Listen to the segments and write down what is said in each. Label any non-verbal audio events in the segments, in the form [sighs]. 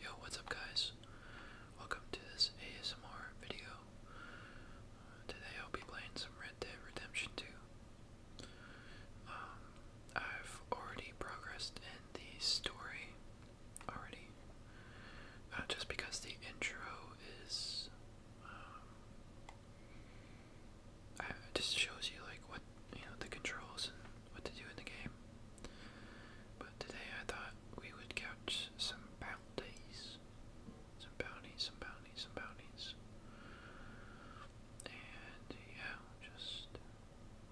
Yo, what's up guys? Welcome to this ASMR video. Uh, today I'll be playing some Red Dead Redemption 2. Um, I've already progressed in the story already. Uh, just because the intro is um, it just shows you like what you know the controls what to do in the game. But today I thought we would catch some bounties. Some bounties, some bounties, some bounties. And yeah, just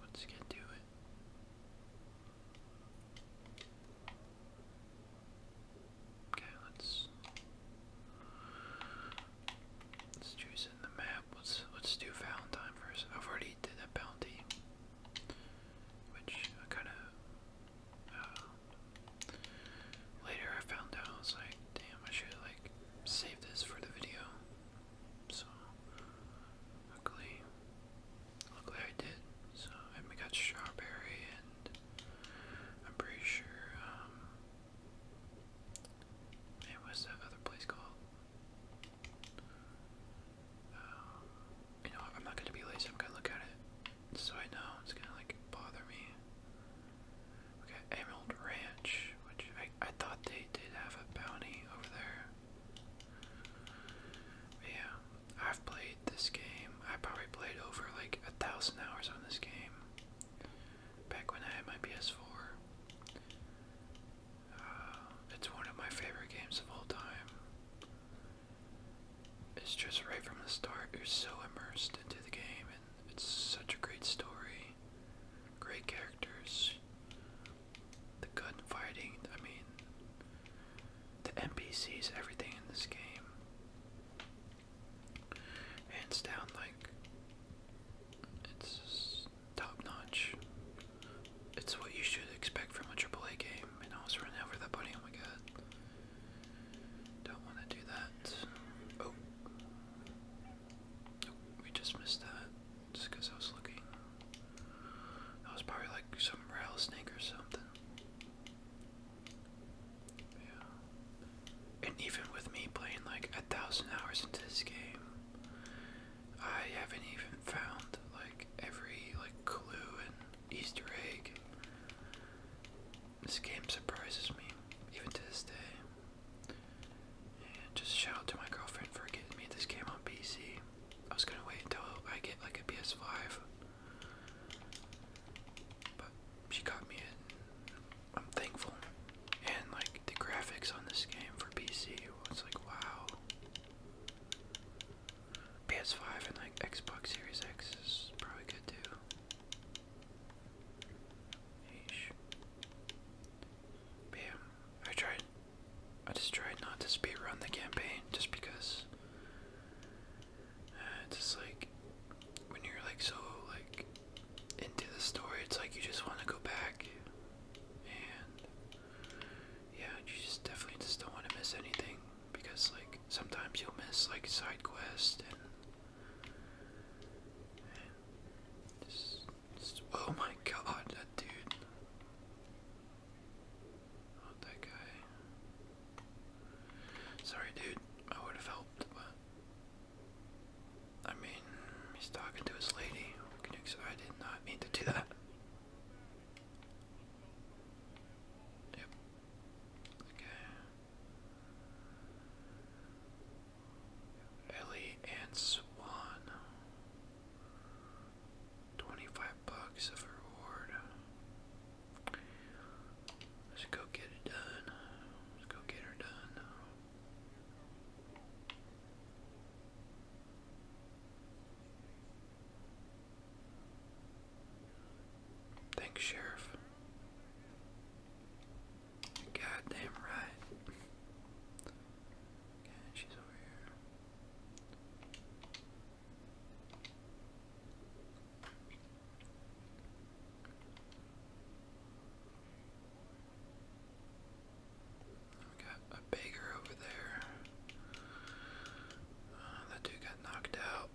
let's get to it. Okay, let's let's choose in the map. Let's let's do Valentine first. I've already did a bounty. Which I kind of uh, later I found out I was like, damn, I should like save this for the video. So luckily, luckily I did. So we got strawberry, and I'm pretty sure um, it was that other place called you know, I'm not gonna be lazy. I'm gonna look at it, so I know it's gonna like bother me. We Emerald Ranch, which I I thought they did have a bounty over there. yeah, I've played this game. I probably played over like a thousand hours on this game. Back when I had my PS4 it's one of my favorite games of all time. It's just right from the start, you're so immersed into the game, and it's such a great story, great characters, the gun fighting, I mean, the NPCs, everything in this game. Hands down, like, it's top notch. It's what you should expect from a AAA game. And I was running over that bunny. Oh my god. Don't want to do that. Oh. oh. We just missed that. Just because I was looking. That was probably like some rattlesnake or something. Yeah. And even with me playing like a thousand hours into this game, I haven't even found like every like clue and Easter egg. This game surprises me, even to this day. And just shout out to my girlfriend for getting me this game on PC. I was gonna wait until I get like a PS5, but she got me and I'm thankful. And like the graphics on this game for PC, it's like wow, PS5 and like Xbox Series X is probably good too. Eesh. I tried. I just tried not to speedrun the campaign just because uh, just like when you're like so like into the story, it's like you just want to go back yeah, you just definitely just don't want to miss anything because like sometimes you'll miss like side quests and, just, oh my god, that dude. Not that guy. Sorry, dude. I would have helped, but I mean, he's talking to his lady. I did not mean to do that. Yep. Okay. Ellie and Swan. Twenty-five bucks of reward. Let's go get it done. Let's go get her done. Thanks, Sheriff. Goddamn right. Okay, she's over here got a beggar over there. Uh, that dude got knocked out.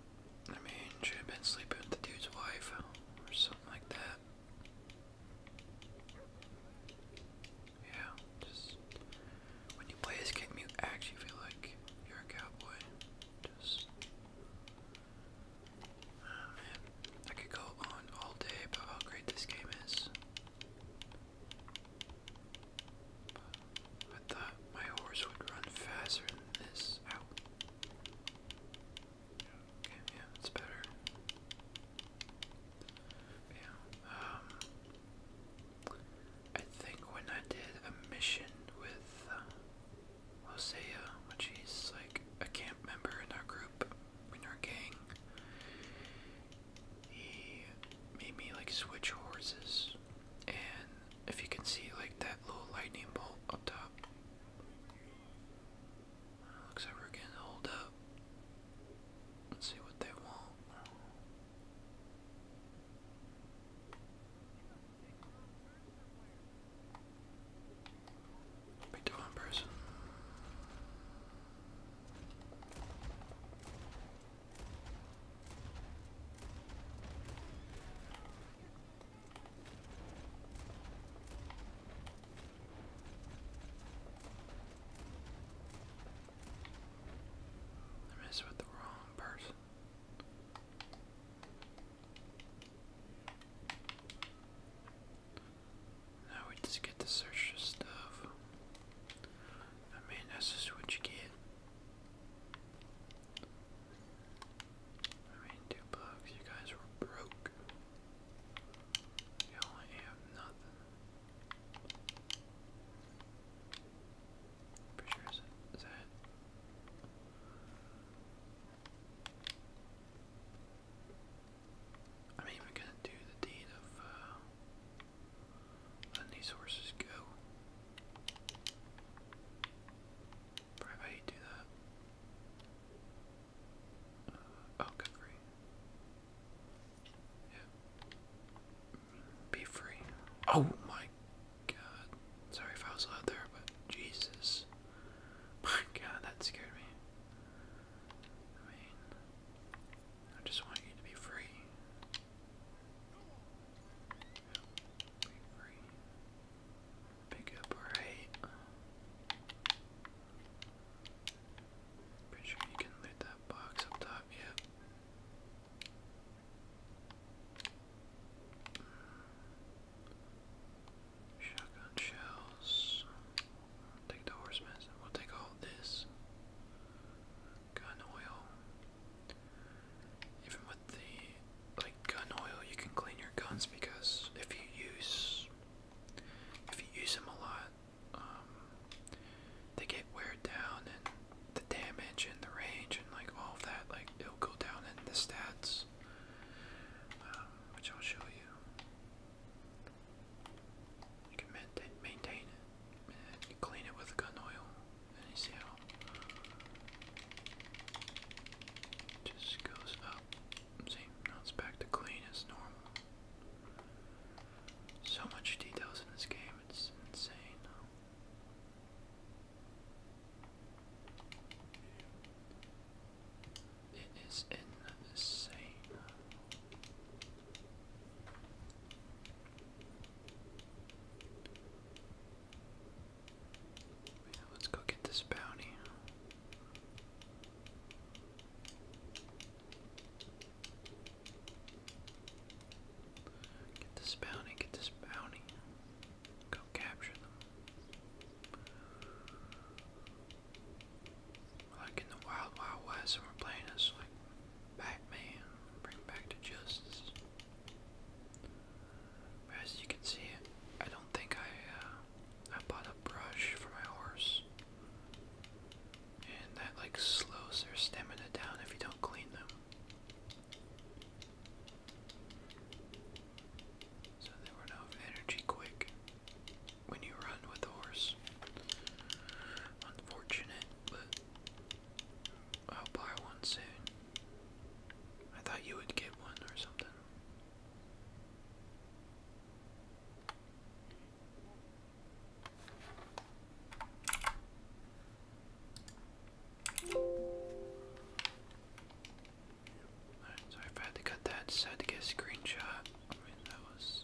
I mean, should have been sleeping with the dude's wife or something like that. Yeah, just when you play this game, you actually feel like you're a cowboy. Just, oh, man, I could go on all day about how great this game is. I thought my horse would run faster than this. yeah, that's better. Yeah, um, I think when I did a mission with uh, Hosea, which he's like a camp member in our group, in our gang, he made me like switch horses. And if you can see like that little lightning bolt up top. looks like we're getting holed up. Let's see what they want. Pick the I messed with the wrong person. Now we just get to search this stuff. I mean, that's just what you get. I mean, two bucks, you guys were broke. You only have nothing. Pretty sure is, it, is that I'm even gonna do the deed of uh, Letting these horses go. Probably do that. Uh, oh, good free. Yeah. Be free. Oh my god. Sorry if I was loud there, but Jesus. My god, that scared me. I just want you to be free. Be free. Pick up right. Pretty sure you can loot that box up top, yep. Shotgun shells. take the horsemen. We'll take all this gun oil. Even with the like gun oil, you can clean your guns because if you use if you use them a lot, um, they get wear down and the damage and the range and like all that, like it'll go down in the stats, um, which I'll show you. You can maintain, it, you clean it with gun oil, you see how it just goes up. See, now it's back to clean as normal. So much details in this game, it's insane. It is insane let's go get this bounty. Get this bounty, get this bounty. Go capture them like in the Wild Wild West, and we're playing as like Batman, bring back to justice. as you can see, I don't think I uh, I bought a brush for my horse, and that like slows their stamina down if you don't clean them. So they run out of energy quick when you run with a horse. Unfortunate, but I'll buy one soon. I thought you would get one or something. Alright, sorry I had to cut that, just to get a screenshot. I mean, that was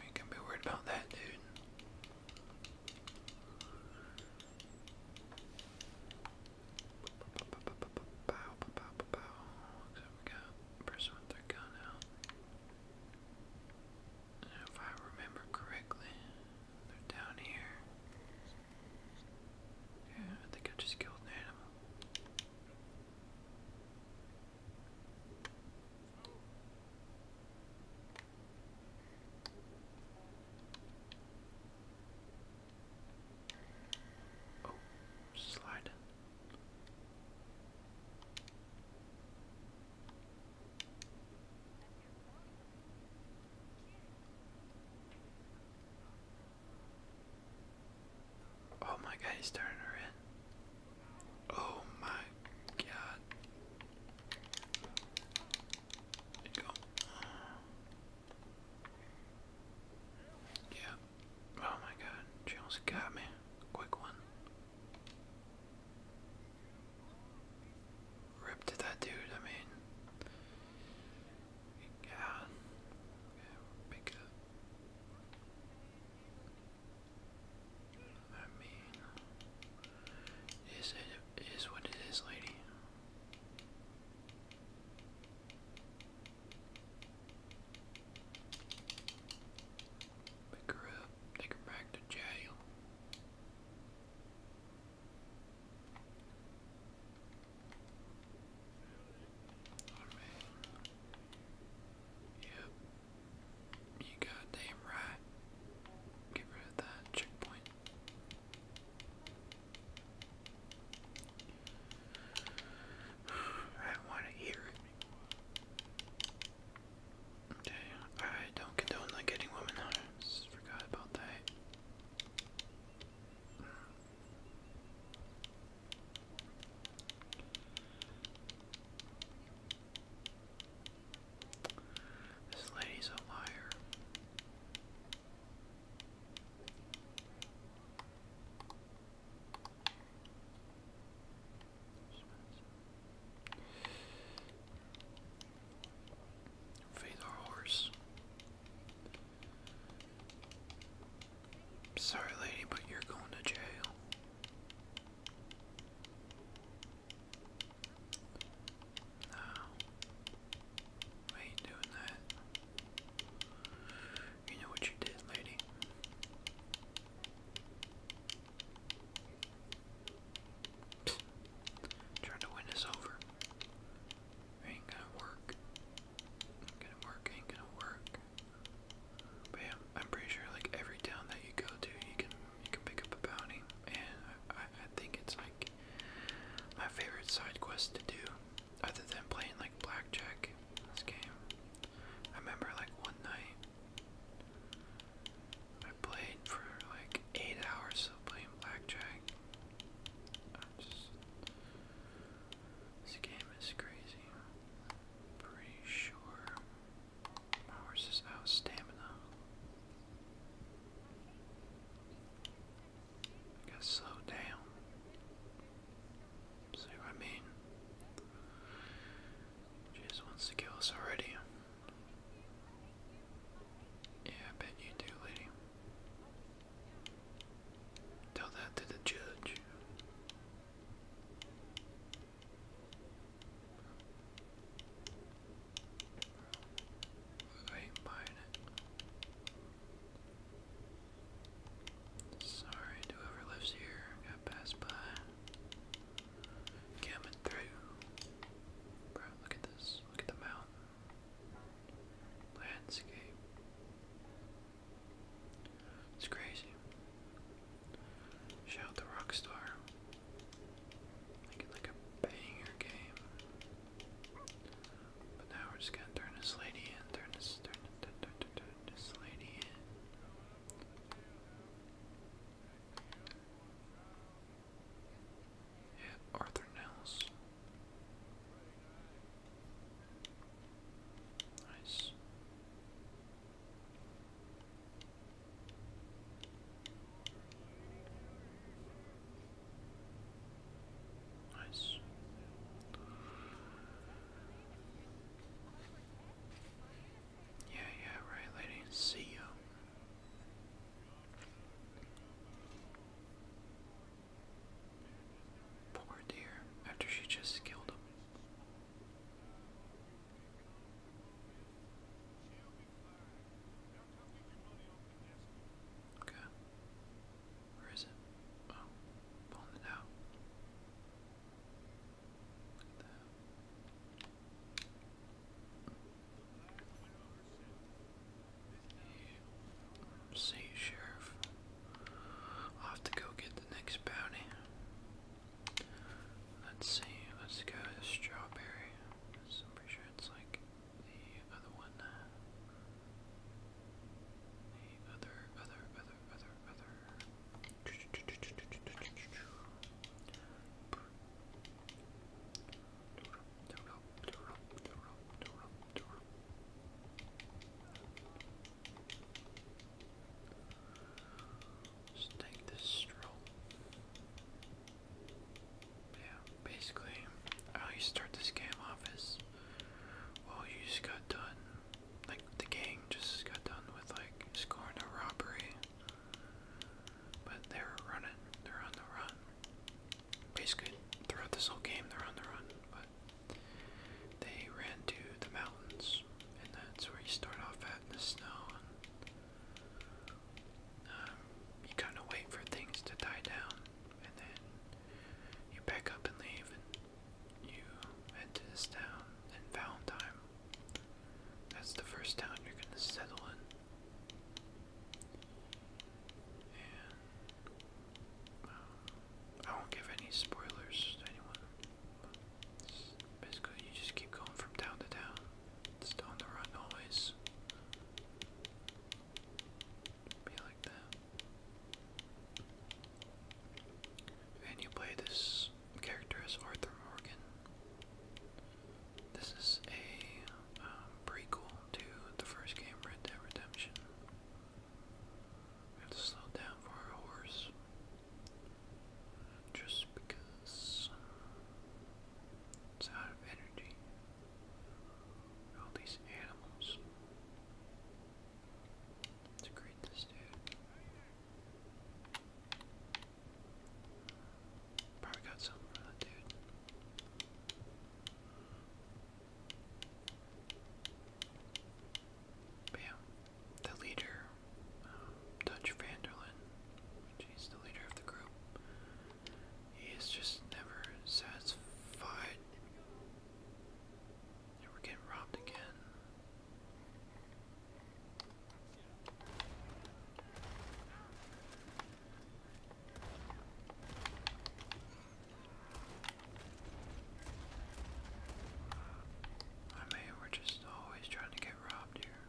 we can be worried about that, dude. Bow, we got person with their gun out. And if I remember correctly, they're down here. Yeah, I think I just killed an animal. Oh, slide. Oh my god, he's turning her in. Oh my god. go. Yeah. Oh my god, she almost got me. Quick one. Ripped to that dude, I mean. God. Yeah, pick up. I mean, is it is what it is, lady. Pick her up, take her back to jail. Yep. You got damn right. Get rid of that checkpoint. [sighs] I want to hear it. Okay, I don't condone like getting women. I just forgot about that. This lady's a liar. Feed our horse. Sorry, lady, but you're going to jail. No. ain't doing that. You know what you did, lady. Trying to win us over. ain't gonna work. Get it work, ain't gonna work. But yeah, I'm pretty sure like every town that you go to, you can you can pick up a bounty, and I, I, I think it's like my favorite side quest to do, other than playing like blackjack. In this game, I remember like one night I played for like eight hours of playing blackjack. I just this game is crazy. Pretty sure my horse is out stamina. gotta slow down. See what I mean? just wants to kill us already. Yeah, I bet you do, lady. Tell that to the judge. I ain't Sorry whoever lives here. Got passed by. Coming through. Bro, look at this. Look at the mountain. Landscape. It's crazy. Shout out to Rockstar. Making like a banger game. But now we're just gonna turn this lady in, turn this turn this lady in. Yeah, Arthur Nels. Nice. Nice. Yeah, yeah, right, lady. See you. Poor dear, after she just killed him. Okay. Where is it? Oh, pulling it out. Look at Sheriff i have to go get the next bounty. Let's see, let's go to strawberry. I'm pretty sure it's like the other one. The other, other, other, other, other. Just take this stroll. Yeah, basically, how you start this game off is, well, you just got done, like, the gang just got done with, like, scoring a robbery. But they're running, they're on the run basically throughout this whole game they're on the run, but they ran to the mountains, and that's where you start off at in the snow. And, um, you kind of wait for things to die down, and then you pack up and leave, and you head to this town in Valentine. That's the first town you're gonna settle in. I won't give any spoilers to anyone. Basically, you just keep going from town to town. It's on the run always. Be like that. And you play this character as Arthur Morgan. This is a um, prequel to the first game, Red Dead Redemption. We have to slow down for our horse. Just because uh, it's out of energy. All these animals. Let's greet dude. Probably got something for that dude. But the leader, um, Dutch Vanderlyn, which the leader of the group, he is just never satisfied. And we getting robbed again. I mean, we're just always trying to get robbed here.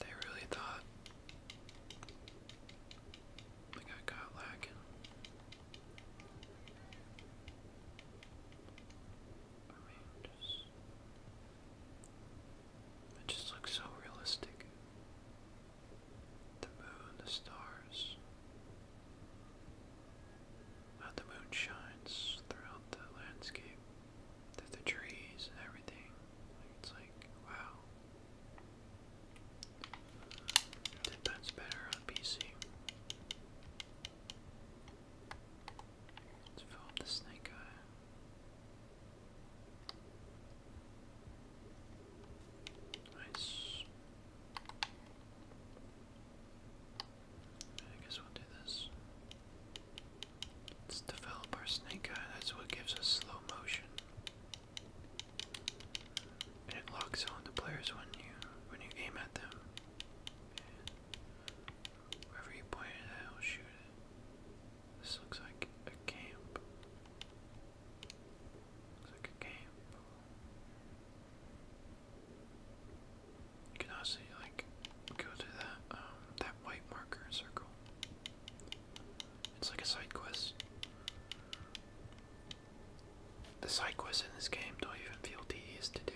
They really thought we got caught lacking. I mean, just. It just looks so realistic the moon, the stars. How the moon shines throughout the landscape, through the trees and everything. it's like, wow. Ten times better on PC. Let's fill up the snake eye. I guess we'll do this. Let's develop our snake That's what gives us slow motion. it locks on the players when you when you aim at them. wherever you point it it'll shoot This looks like a camp. It's a game. You can also like go to that um that white marker circle. It's like a side quest. The side quests in this game don't even feel tedious to do.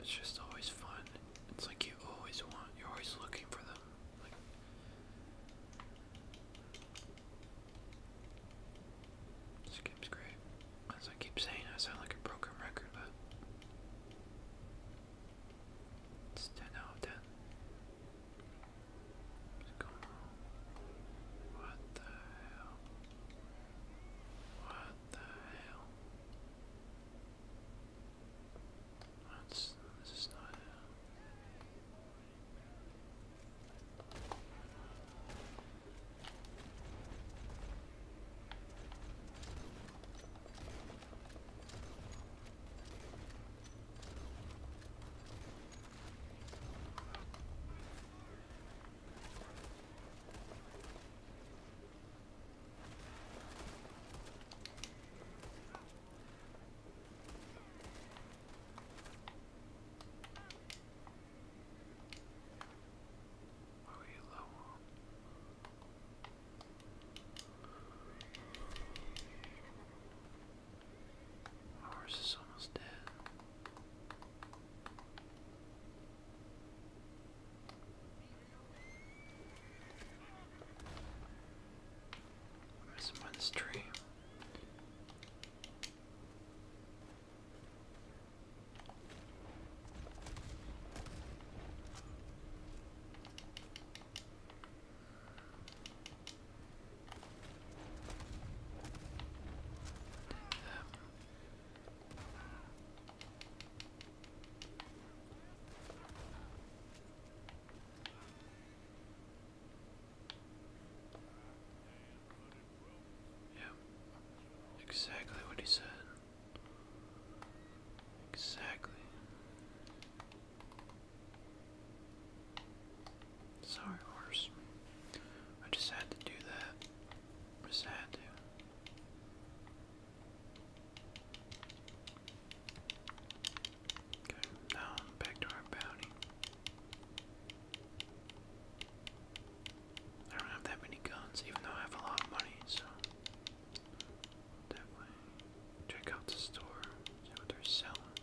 it's just always fun. It's like you always want, you're always looking for them. Like, this game's great. As I keep saying, I sound like a broken record, but it's 10 out of 10. What the hell? What the hell? That's, this is not it. What are you low on? My horse is almost dead. There's some on this tree. Yep, exactly what he said. Exactly. Sorry, horse. I just had to do that. I just had to now back to our bounty. I don't have that many guns, even though I have a lot of money, so. Check out the store, what they're selling.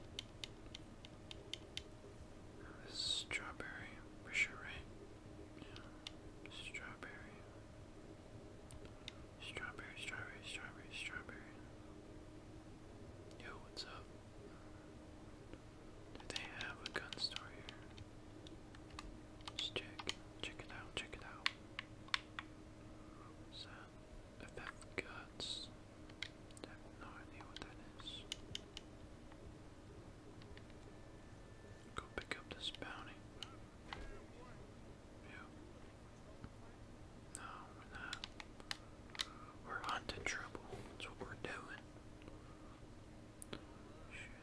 This strawberry, for Yeah, strawberry. Strawberry, strawberry, strawberry, strawberry. Yo, what's up? Do they have a gun store here? Let's check. Check it out, check it out. What's that? FF Guts. I have no Go pick up this bounty. Yeah. No, we're not. We're hunting trouble. That's what we're doing.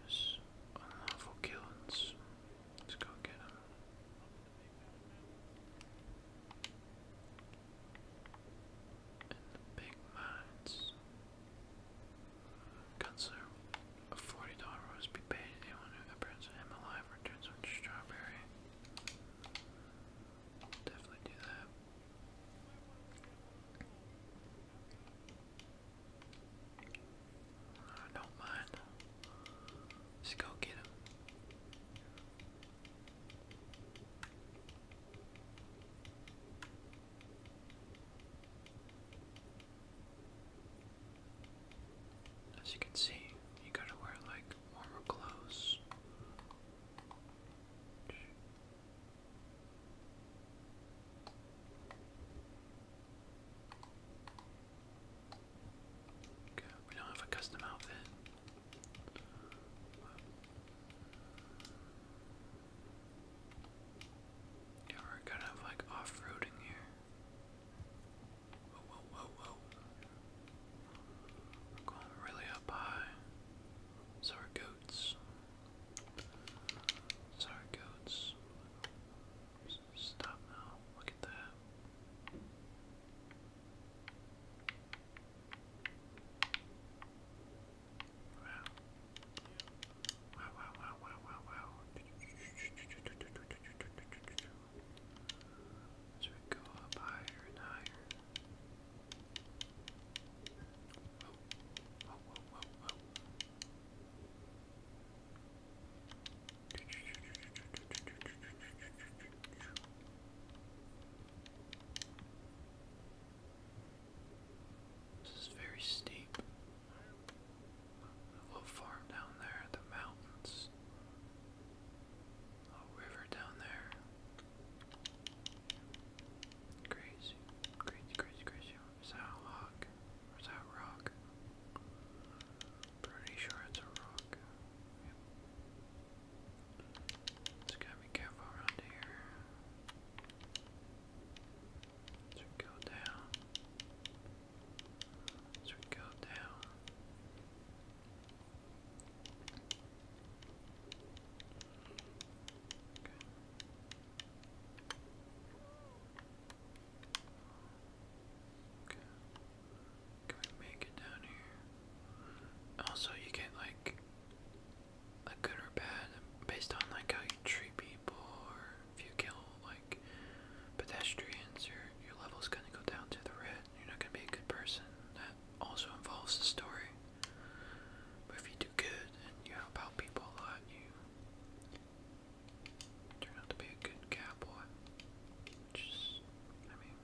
Just unlawful killings. Let's go get him. And the big mines. Gunslinger, a $40 roast be paid to anyone who apprehends him alive returns on strawberry. Definitely do that. I don't mind. Just go get him. As you can see, you gotta wear like warmer clothes. we don't have a custom outfit. Yeah, we're kind of like off-roading here. Whoa, going really up high. So our goats. So our goats. Stop now. Look at that. Wow, wow, wow, wow, wow, wow. As we go up higher and higher. This is very steep. A little farm down there, the mountains little river down there. Crazy, crazy, crazy, crazy. Is that a log? is that a rock? Pretty sure it's a rock. Just gotta be careful around here. Should go down as we go down. Okay. Okay. Can we make it down here? Also, you get like a good or bad based on like how you treat people or if you kill like pedestrians, your your level's gonna go down to the red you're not gonna be a good person. That also involves the story. But if you do good and you help people a lot, you turn out to be a good cowboy. Just, I mean,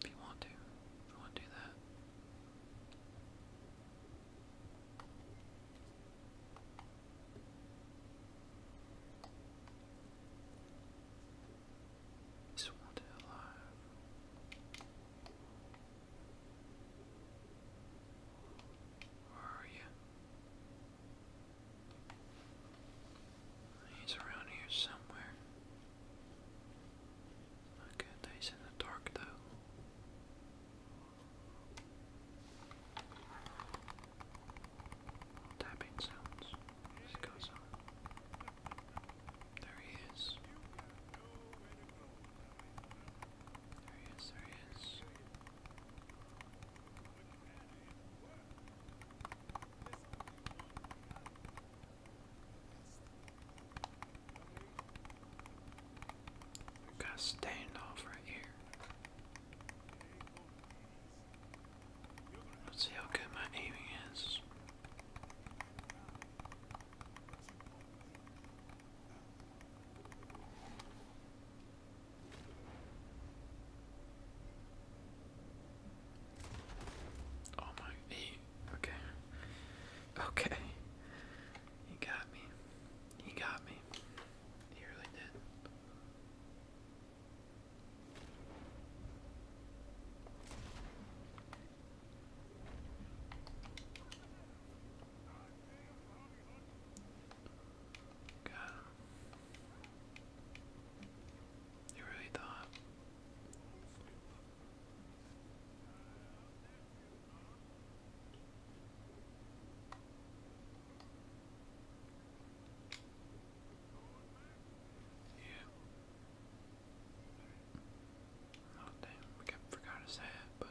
if you want to, you want to do that. He's wanted alive. Where are you? He's around here somewhere. Not good that he's in the dark though tapping sounds as it goes on. There he is. There he is, there he is. Got standoff right here. Let's see how good my aiming is. Oh my okay. Okay. He got me. He got me. He really did. Got You really thought. Yeah. Oh damn, we forgot his hat, but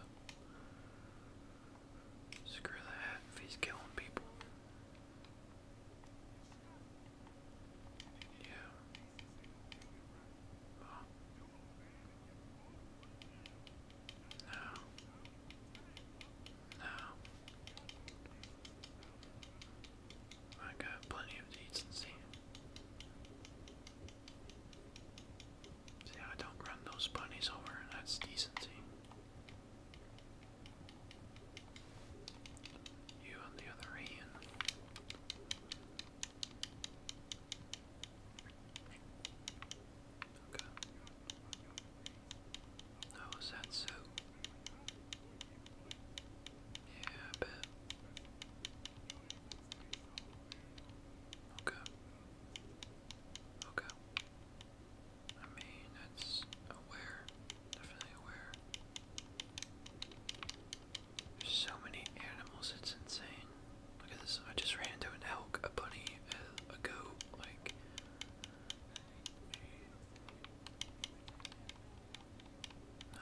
screw the hat if he's killing people. Yeah. Oh. No. I got plenty of decency. See, I don't run those bunnies over, that's decency. You, on the other hand, okay. Oh, is that so? Yeah, bet. Okay. Okay. I mean, that's aware. Definitely aware. so many animals, it's insane. Look at this. I just ran into an elk, a bunny, a goat, like no.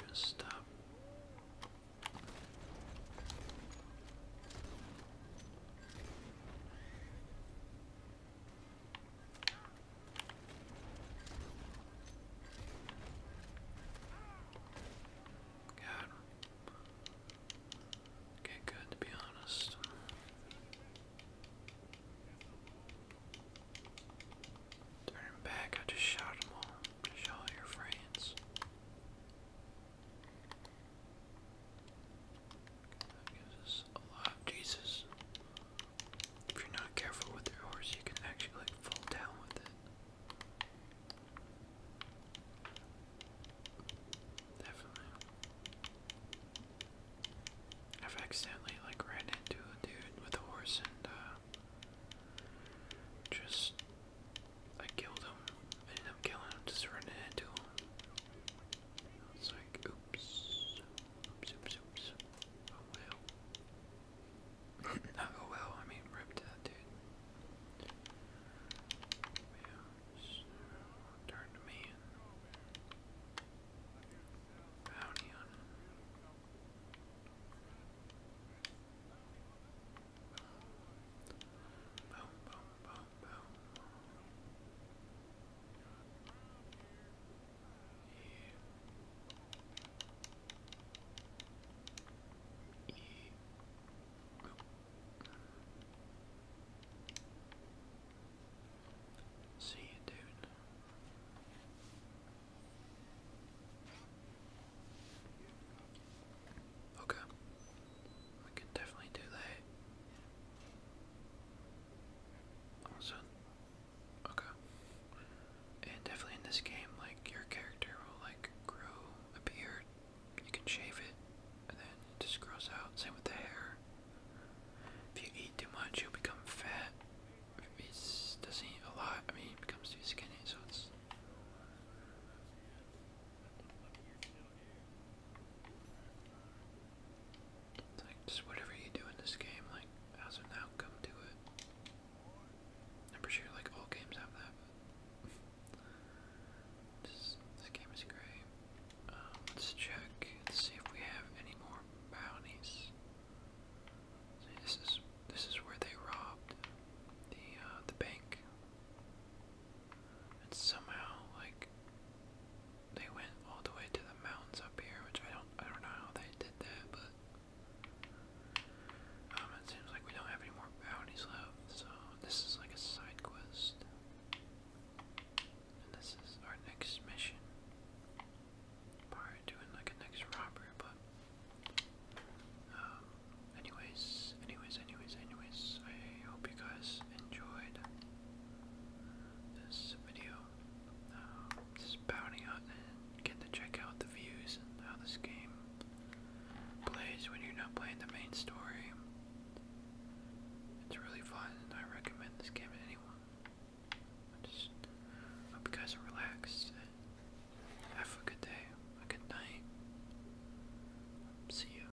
Oh. Stop. God. Okay, good to be honest. Turn back, I just shot them all. Just all your friends. That gives us Jesus. If you're not careful with your horse, you can actually fall down with it. Definitely. I've accidentally like ran into a dude with a horse and uh, just I killed him I'm killing him, just running into him. It's like, oops. Oh well. [coughs] oh well, I mean, ripped that dude. Yeah, to me and bounty on him. E. E. Oh. See you, dude. Okay. We could definitely do that. Also, okay. And definitely in this game, like your character will like grow a beard. You can shave it, and then it just grows out. Same with the hair. If you eat too much, you'll become fat. If he doesn't eat a lot, I mean, becomes too skinny, so it's like just whatever you do in this game, like as an outcome to it. I'm pretty sure like all games have that. this game is great. Um, let's check. let see if we have any more bounties. this is this is where they robbed the uh, the bank. And somehow, like, they went all the way to the mountains up here, which I don't, I don't know how they did that, but um, it seems like we don't have any more bounties left, so this is like a side quest. And this is our next mission. Probably doing like a next robber, but um, anyways, anyways, anyways, anyways, I hope you guys enjoyed this video. Um, just bounding out and getting to check out the views and how this game plays when you're not playing the main story. It's really fun I recommend this game to anyone. hope you guys are relaxed have a good day, a good night. See you.